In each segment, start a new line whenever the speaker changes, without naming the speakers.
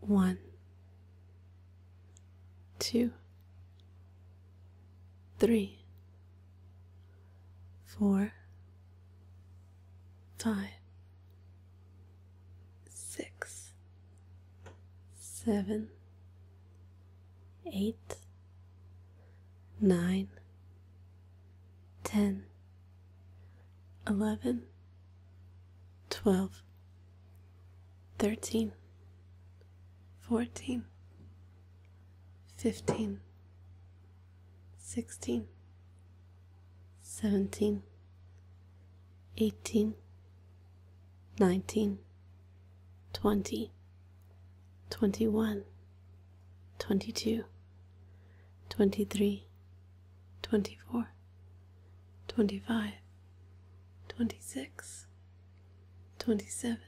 One, two, three, four, five, six, seven, eight. Nine. Ten. Eleven. Twelve. Thirteen. Fourteen. Fifteen. Sixteen. Seventeen. Eighteen. Nineteen. Twenty. 21 22 23 24 25 26 27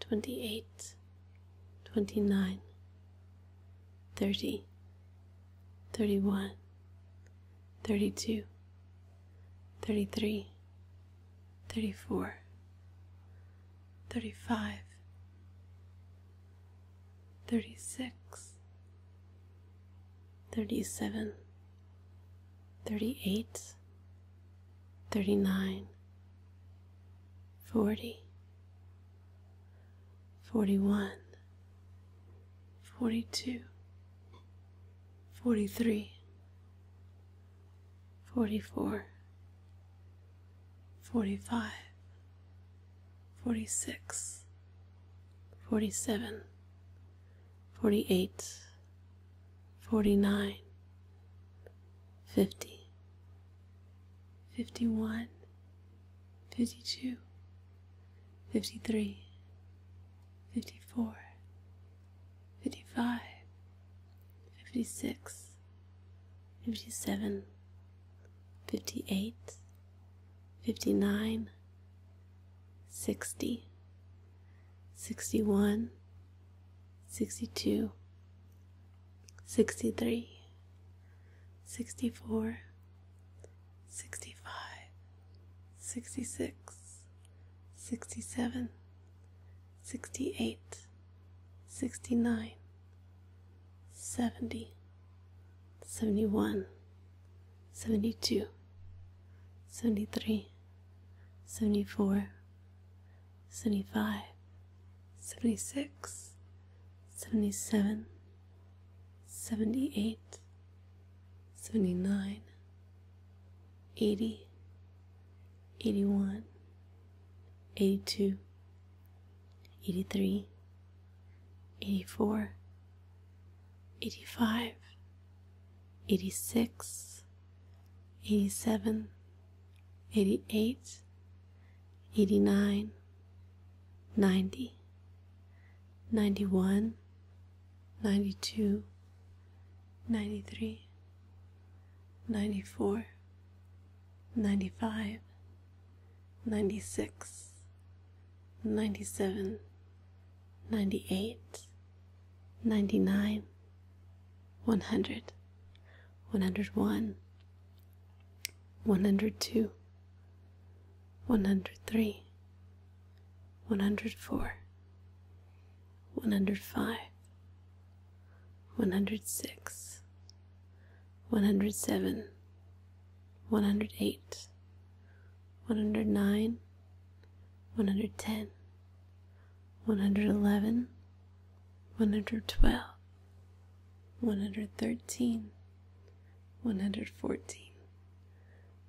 28 29 30 31 32 33 34 35 36 37 38 39 40 41 42 43 44 45 46 47 48 49 50 51 52 53 54 55 56 57, 58, 59, 60, 61, 62, 63, 64, 65, 66, 67, 68 69 70 71 72 73 74 75 76 77 78 79 80 81 82 83 84 85 86 87 88 89 90 91 92 93 94 95, 96, 97, 98, 99, 100, 101, 102, 103, 104, 105, 106, 107, 108, 109, 110, 111, 112, 113, 114,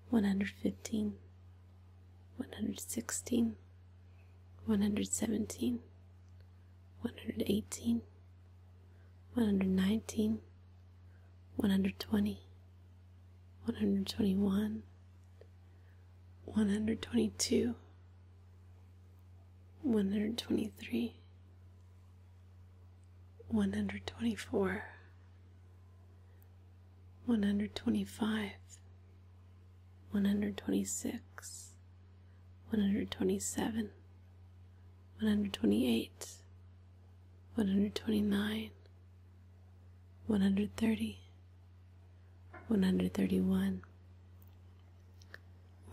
115, 116, 117, 118, 119, 120, 121, 122, 123, 124, 125, 126, 127 128 129 130 131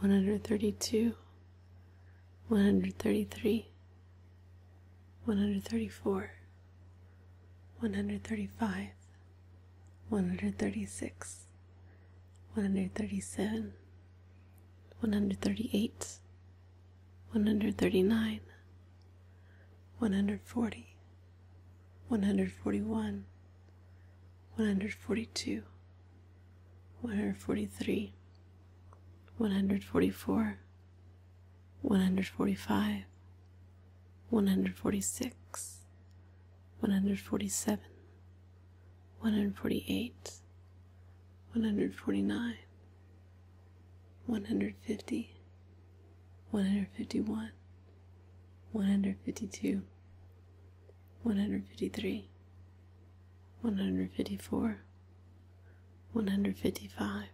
132 133 134 135 136 137, 138, 139, 140, 141, 142, 143, 144, 145, 146, 147, 148, 149, 150, 151, 152, 153, 154, 155,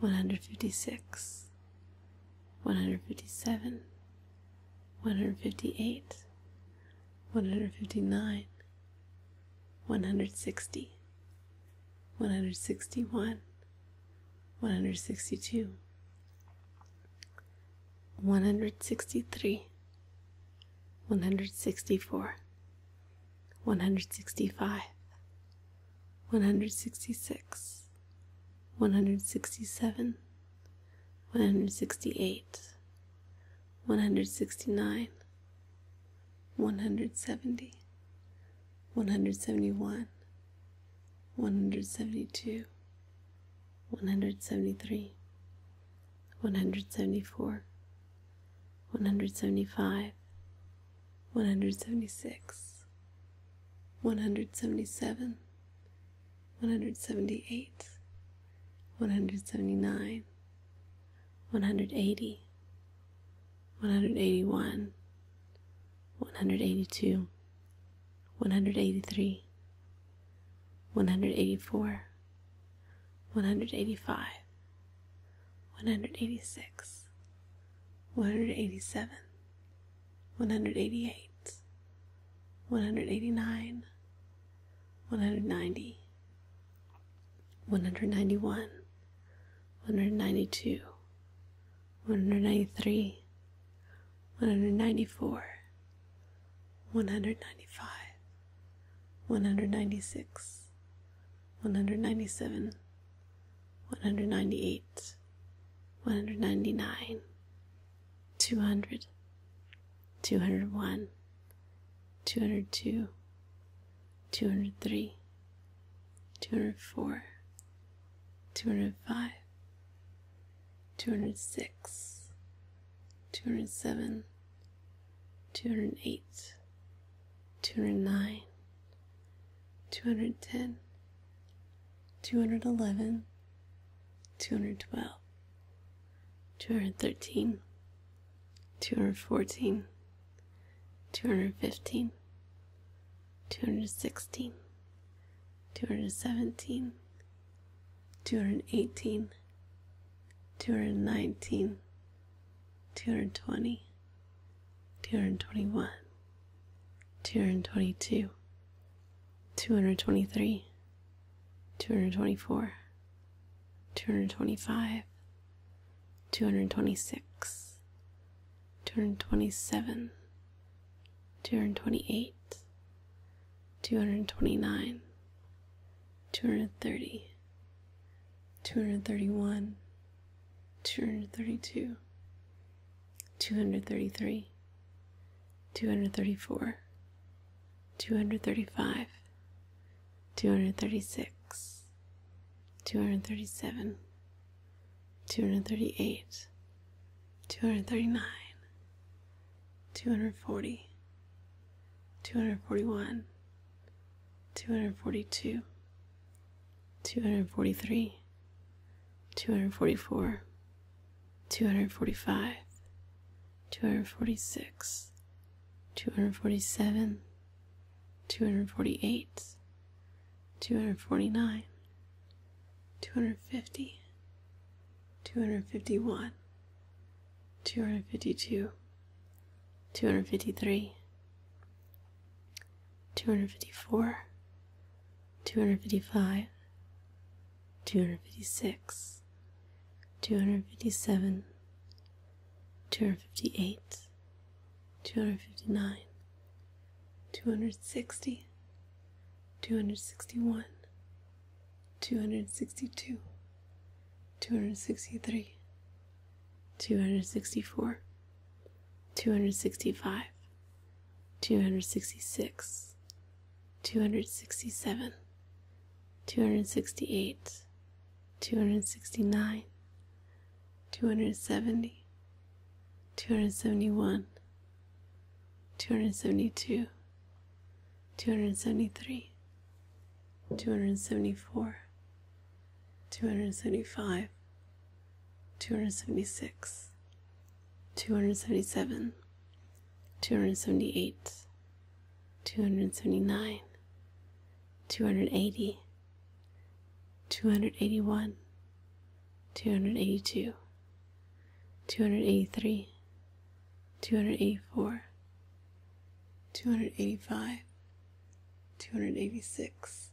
156, 157, 158, 159, 160, 161, 162, 163, 164, 165, 166, 167, one hundred sixty eight, one hundred sixty nine, one hundred seventy, one hundred seventy one, one hundred seventy two, one hundred seventy three, one hundred seventy four, one hundred seventy five, one hundred seventy six, one hundred seventy seven. 178, 179, 180, 181, 182, 183, 184, 185, 186, 187, 188, 189, 190, 191, 192, 193, 194, 195, 196, 197, 198, 199, 200, 201, 202, 203, 204, 205, 206, 207, 208, 209, 210, 211, 212, 213, 214, 215, 216, 217, 218, 219, 220, 221, 222, 223, 224, 225, 226, 227, 228, 229, 230, 231, 232, 233, 234, 235 236 237 238 239 240 241 242 243 244 245 246 247 248 249 250 251 252 253 254 255 256, 257, 258, 259, 260, 261, 262, 263, 264, 265, 266, 267 268 269 270 271 272 273 274 275 276 277 278 279, 280, 281, 282, 283, 284, 285, 286,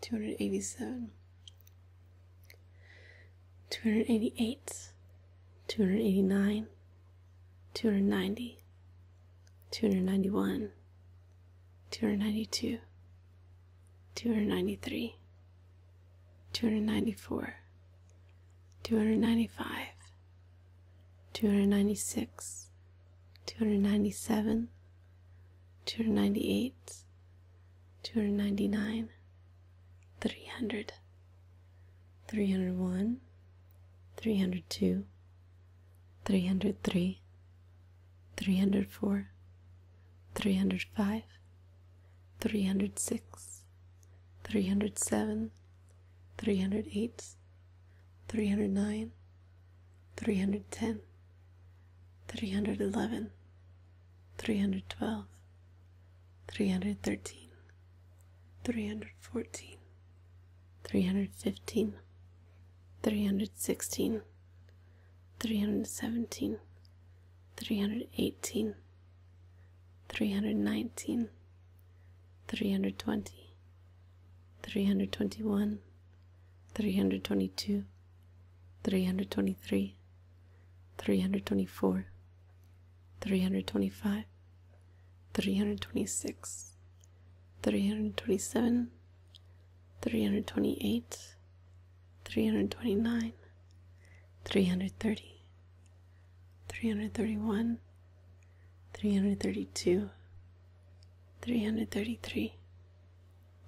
287, 288, 289, 290, 291, 292, 293, 294, 295, 296, 297, 298, 299, 300. 301, 302, 303, 304, 305, 306, 307, 308, 309, 310, 311, 312, 313, 314, 315, 316, 317, 318, 319, 320, 321, 322, 323, 324, 325 326 327 328 329 330 331 332 333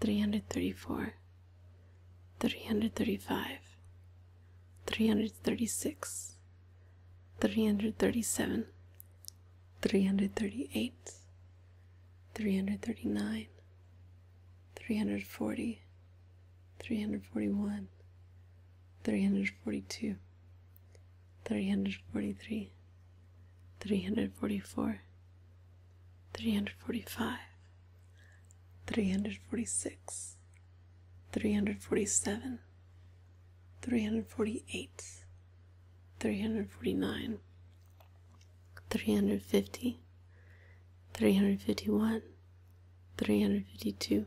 334 335 336 337 338 339 340 341 342 343 344 345 346 347 348, 349, 350, 351, 352,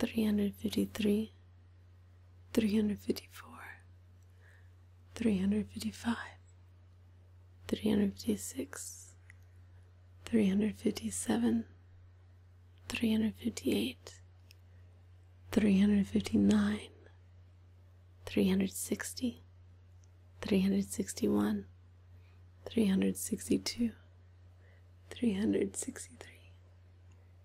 353, 354, 355, 356, 357, 358 359 360 361 362 363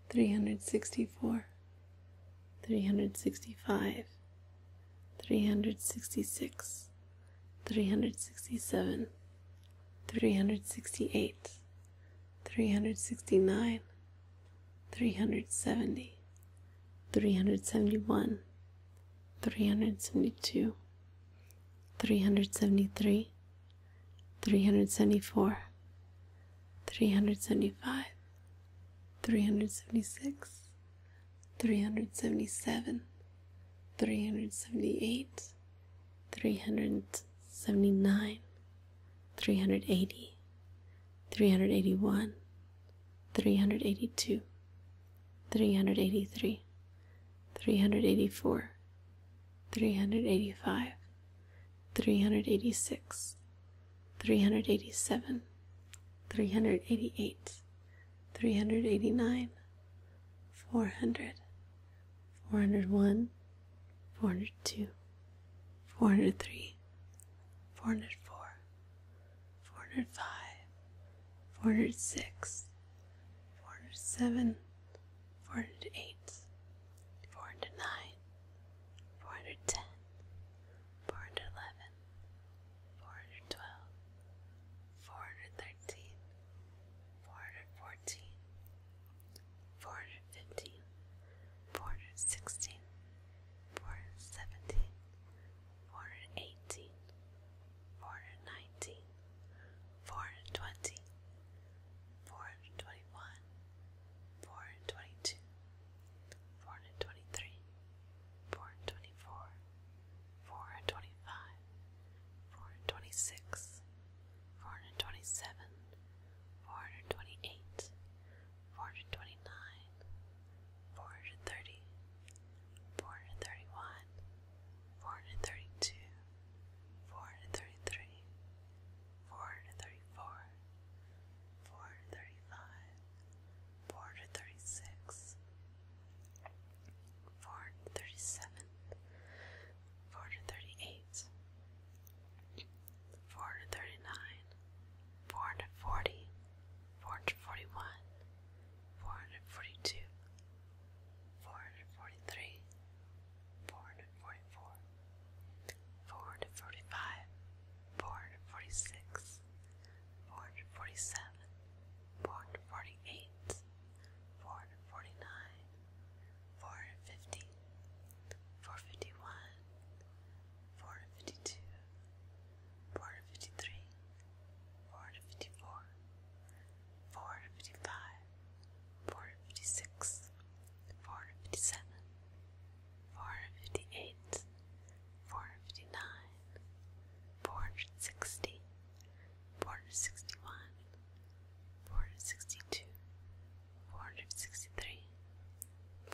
364 365 366 367 368 369, 370, 371, 372, 373, 374, 375, 376, 377, 378, 379, 380, 381, 382, 383, 384, 385, 386, 387, 388, 389, 400. 401, 402, 403, 404, 405, 406, 407, 408, 409, 410, 411, 412, 413, 414, 415, 416, 417, 418, 419, 420, 421, 422, 423, 424, 425, 426, 427, 428, 429, 430, 431, 432, 433, 434, 435, 436, 437, 438, 439, 440, 441, 442, 443, 444, 445, 446, 447, 448, 449, four fifty, four fifty one, four fifty two, four fifty three, four fifty four, four fifty five, four fifty six, four fifty seven, four fifty eight, four fifty nine, four hundred sixty, four hundred sixty one, four hundred sixty two. 461 462 463 464 465 466 467 468 469 470 471 472 473 474 475 463,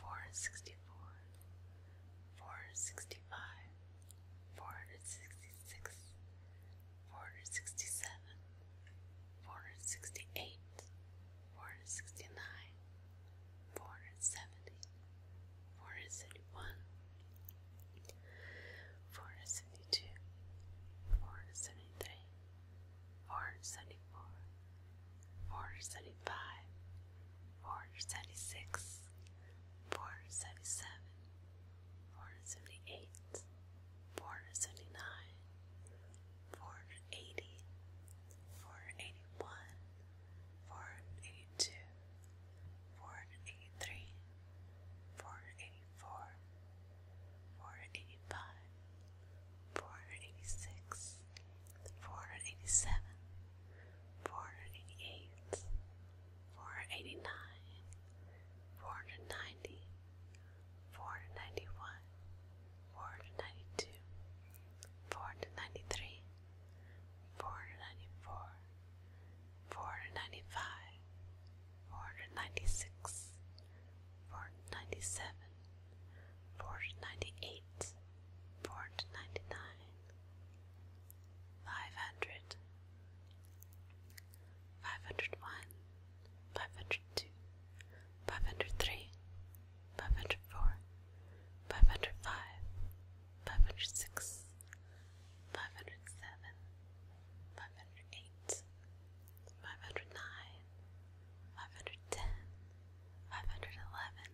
464, 465, 466, 467, 468, 469, 470, 471, 472, 473, 474, 475, 476, 477, 478, 479, 480, 481, 482, 483, 484, 485, 486, 487, 488, 489, 490, 491, 492, 493, 494, 495, 496, 497, 498, 499, 500, 501, 502, 503, 504, 505, 506, 507, 508, 509, five hundred ten, five hundred eleven,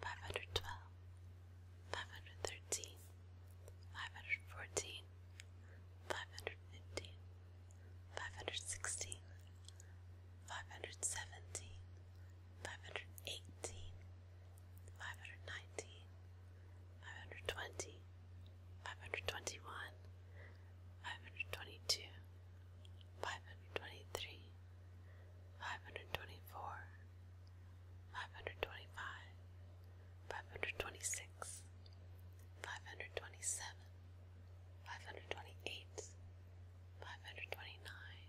five hundred twelve, five hundred thirteen, five hundred fourteen, five hundred fifteen, five hundred sixteen, five hundred seventeen, five hundred eighteen, five hundred nineteen, five hundred twenty, five hundred twenty one, five hundred twenty two. 523 524 525 526 527 528 529 530 531 532 533 five hundred twenty three, five hundred twenty four, five hundred twenty five, five hundred twenty six, five hundred twenty seven, five hundred twenty eight, five hundred twenty nine,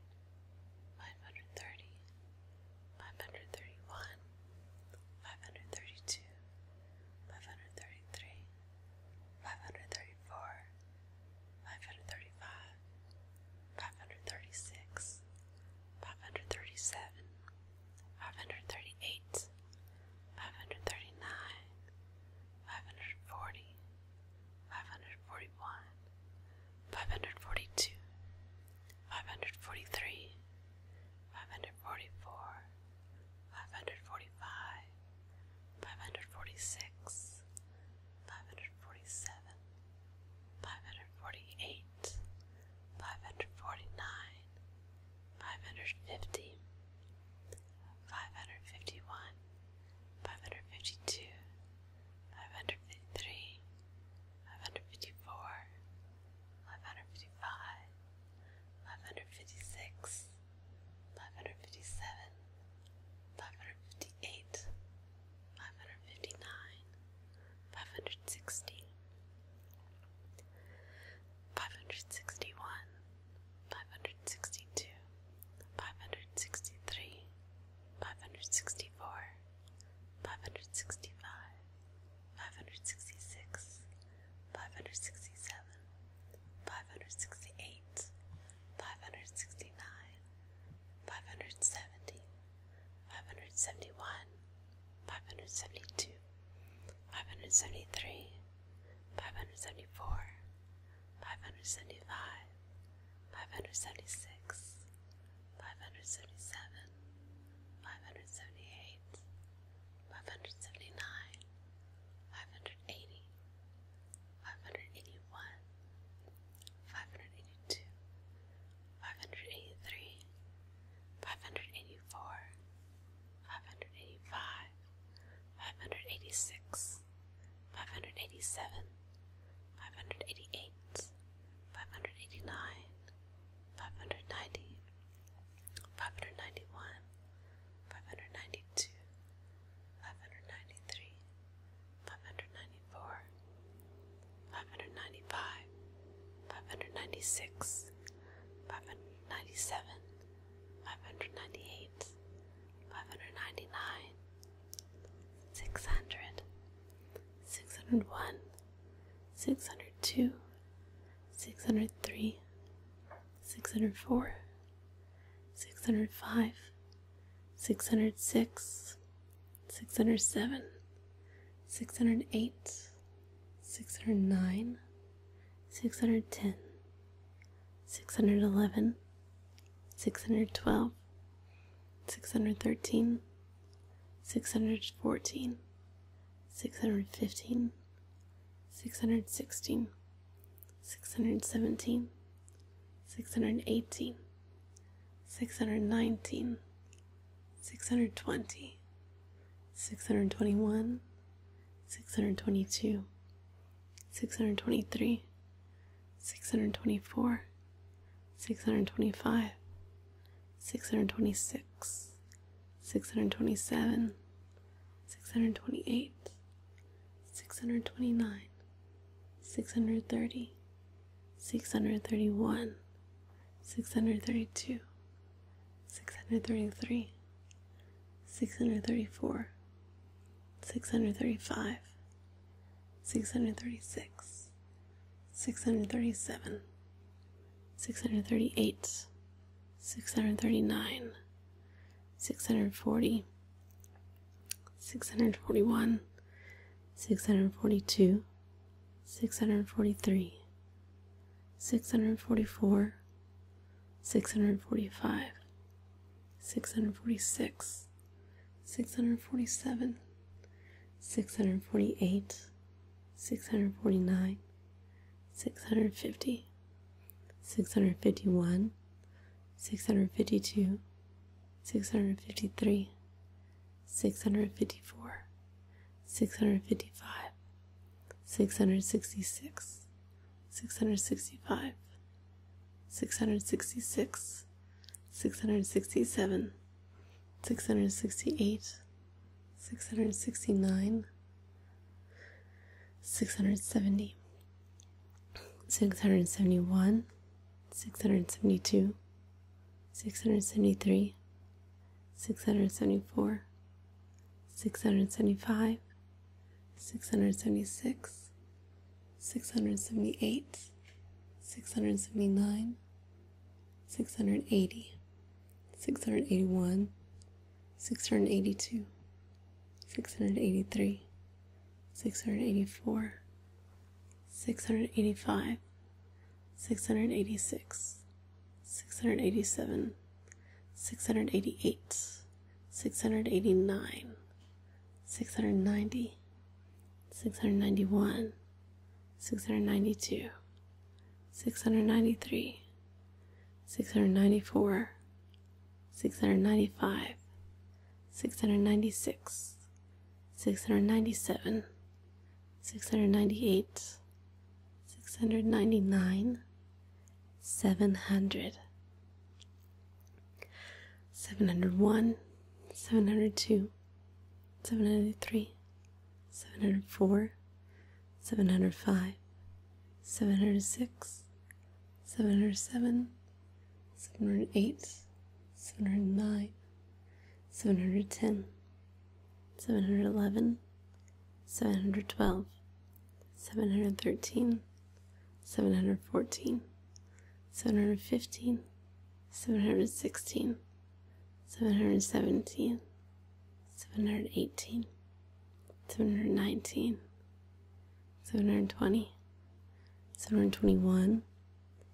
five hundred thirty, five hundred thirty one, five hundred thirty two, five hundred thirty three five hundred thirty four, five hundred thirty five, five hundred thirty six, five hundred thirty seven, five hundred thirty eight, five hundred thirty nine, five hundred forty, five hundred forty one, five hundred forty two, five hundred forty three, five hundred forty four. 545, 546, 547, 548, 549, 550, 551, 552, 553, 554, 555, 556, 557, 558, 559, 560, 561, 562, 563, 564, 565, 566, 567, five hundred sixty eight, five hundred sixty nine, five hundred seventy, five hundred seventy one, five hundred seventy two, five hundred seventy three, five hundred seventy four, five hundred seventy five, five hundred seventy six, five hundred seventy seven, five hundred seventy eight, five hundred seventy nine, five hundred eighty. 570 571 572 573 574 575 576 577 578 579 580 five hundred eighty one, five hundred eighty two, five hundred eighty three, five hundred eighty four, five hundred eighty five, five hundred eighty six, five hundred eighty seven, five hundred eighty eight, five hundred eighty nine, five hundred ninety, five hundred ninety one, five hundred ninety two. 591 592 593, 594, 595, 596, 597, 598, 599, 600, 601, 602, 603, 604, 605, 606, 607, 608, 609, 610, 611, 612, 613, 614, 615, 616, 617, 618, 619, 620, 621, 622, 623, 624, 625, 626, 627, 628 629 630 631 632 633 634 635 636 637 638 639 640 641 642 643 644 645 646 647 648 649 650 651, 652, 653, 654, 655, 666, 665, 666, 667, 668, 669, 670, 671 672 673 674 675 676 678 679 680 681 682 683 684, 685, 686, 687, 688, 689, 690, 691, 692, 693, 694, 695 696 697 698 699 700 701 702 703 704 705 706 707 708, 709, 710, 711, 712, 713, 714, 715, 716, 717, 718, 719, 720, 721,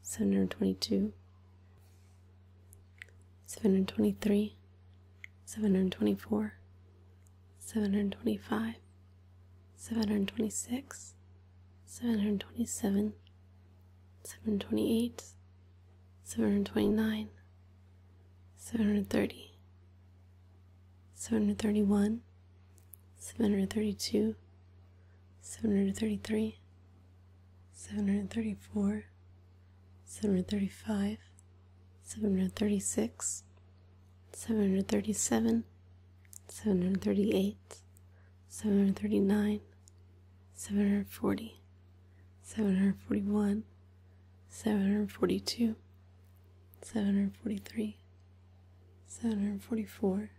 722, 723, 724, 725, 726, 727, 728, 729, 730, 731, 732, 733, 734, 735, 736, 737, 738, 739, 740, 741, 742, 743, 744,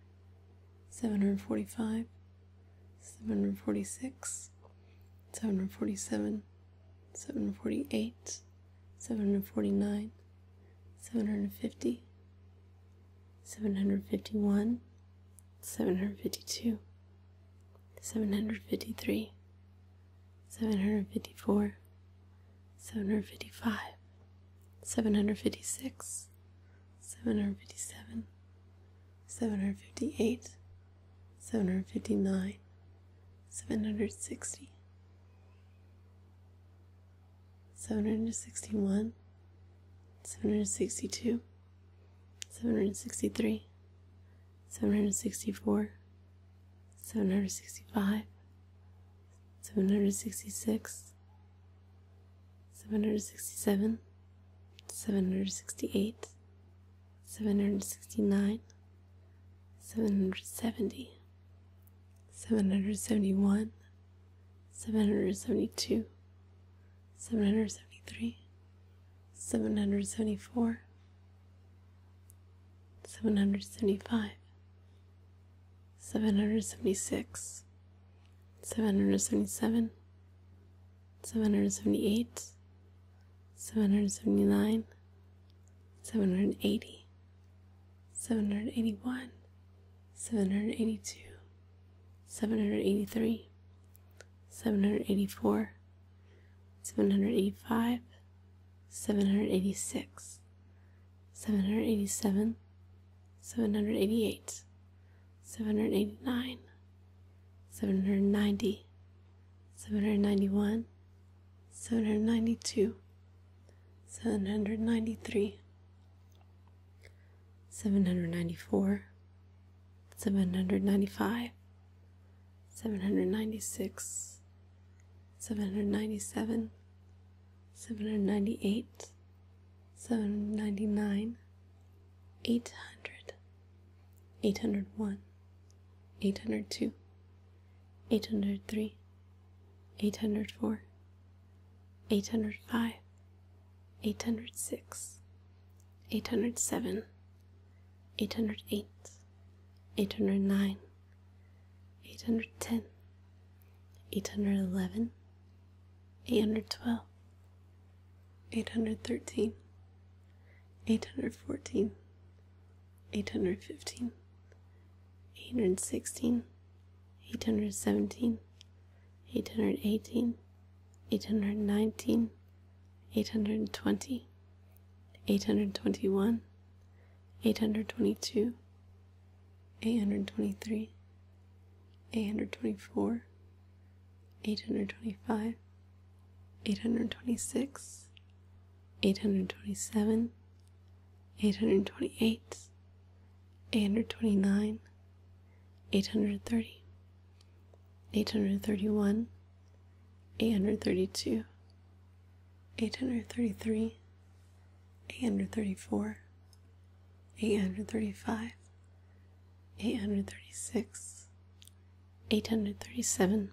745, 746, 747, 748, 749, 750, 751, 752, 753, 754, 755, 756, 757, 758, 759, 760, 761, 762, 763, 764, 765, seven hundred sixty six, seven hundred sixty seven, seven hundred sixty eight, seven hundred sixty nine, seven Seven hundred seventy. Seven hundred seventy-one. seventy one, seven hundred seventy two, seven hundred seventy three, seven hundred seventy four. Seven hundred seventy five, 776, 777, 778, 779, 780, 781, 782, 783, 784, 785, 786, 787, 788, 789, 790, 791, 792, 793, 794, 795, 796, 797, 798 799 800 801 802 803 804 805 806 807 808 809 810 811 812 813 814 815 816 817 818 819 820 821 822 823 824 825 826 827 828 829 830 831 832 833 834 835 836 837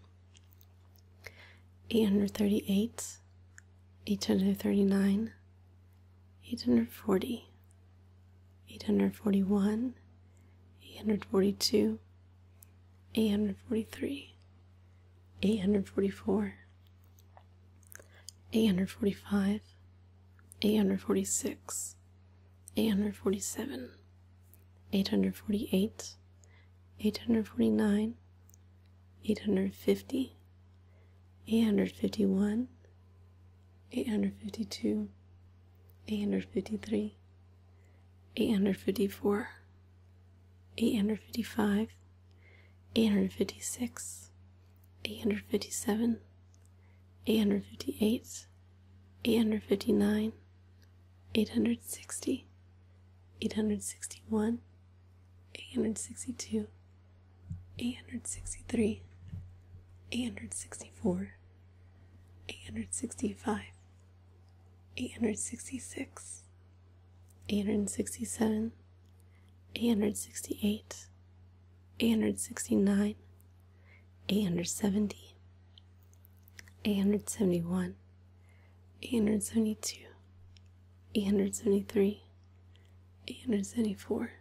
838 839 840 841 842 843 844 845 846 847 848 849 850 851 852 853 854 855 856 857 858 859 860 861 862 863 864 865 866 867 868, 869, 870, 871, 872, 873, 874,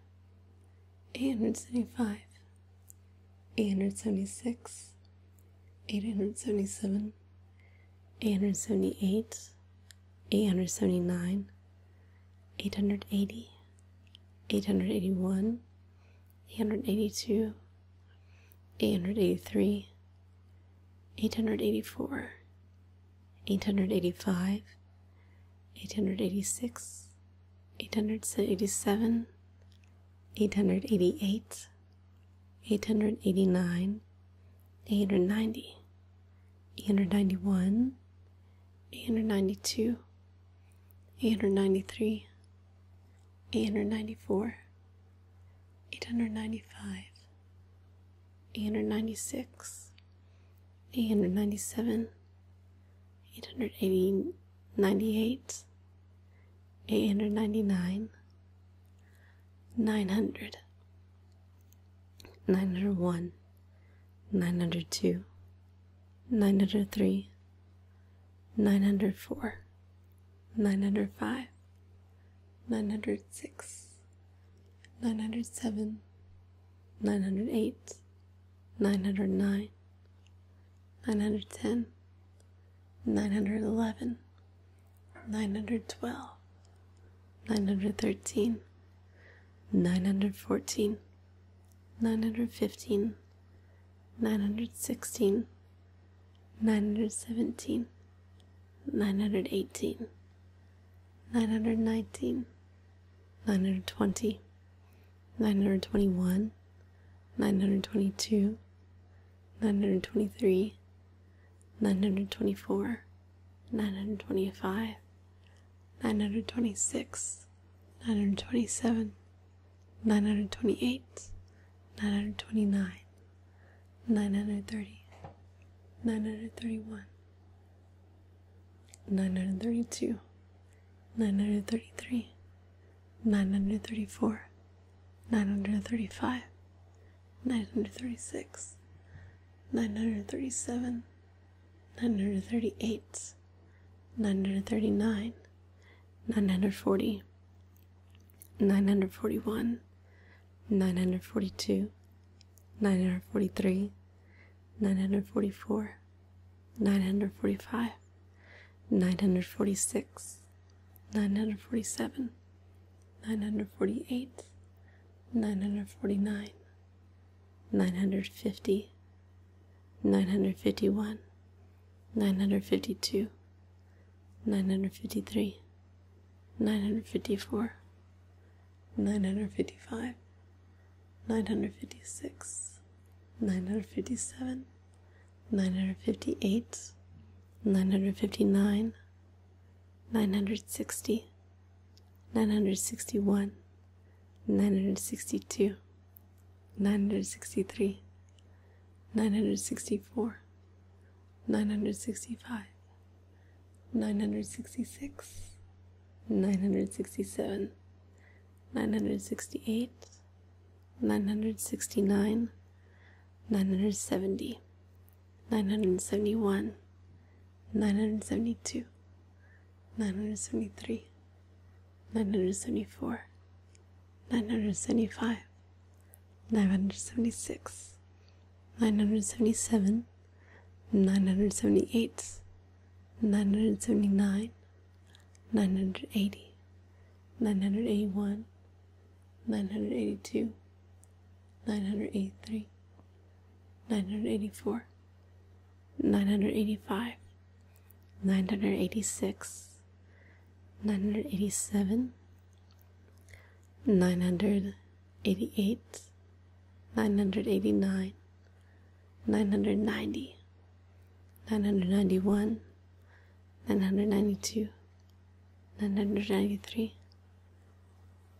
875, 876, 877, 878, 879, 880, 881, 882, 883, 884, 885, 886, 887, 888, 889, 890, 891, 892, 893, 894, 895, 896, 897, 898, 899, 900, 901, 902, 903, 904, 905, 906, 907, 908, 909, 910, 911, 912, 913, 914 915 916 917 918 919 920 921 922 923 924 925 926 927 928 929 930 931 932 933 934 935 936 937 938, 939, 940, 941, 942, 943, 944, 945, 946, 947, 948, 949, 950, 951, 952, 953, 954, 955, 956, 957, 958, 959, 960, nine hundred sixty one, nine hundred sixty two, nine hundred sixty three, nine hundred sixty four, nine hundred sixty five, nine hundred sixty six, nine hundred sixty seven, nine hundred sixty eight, nine hundred sixty nine, nine hundred seventy, nine hundred seventy one. 972, 973, 974, 975, 976, 977, 978, 979, 980, 981, 982, 983, 984 985 986 987 988 989 990 991 992 993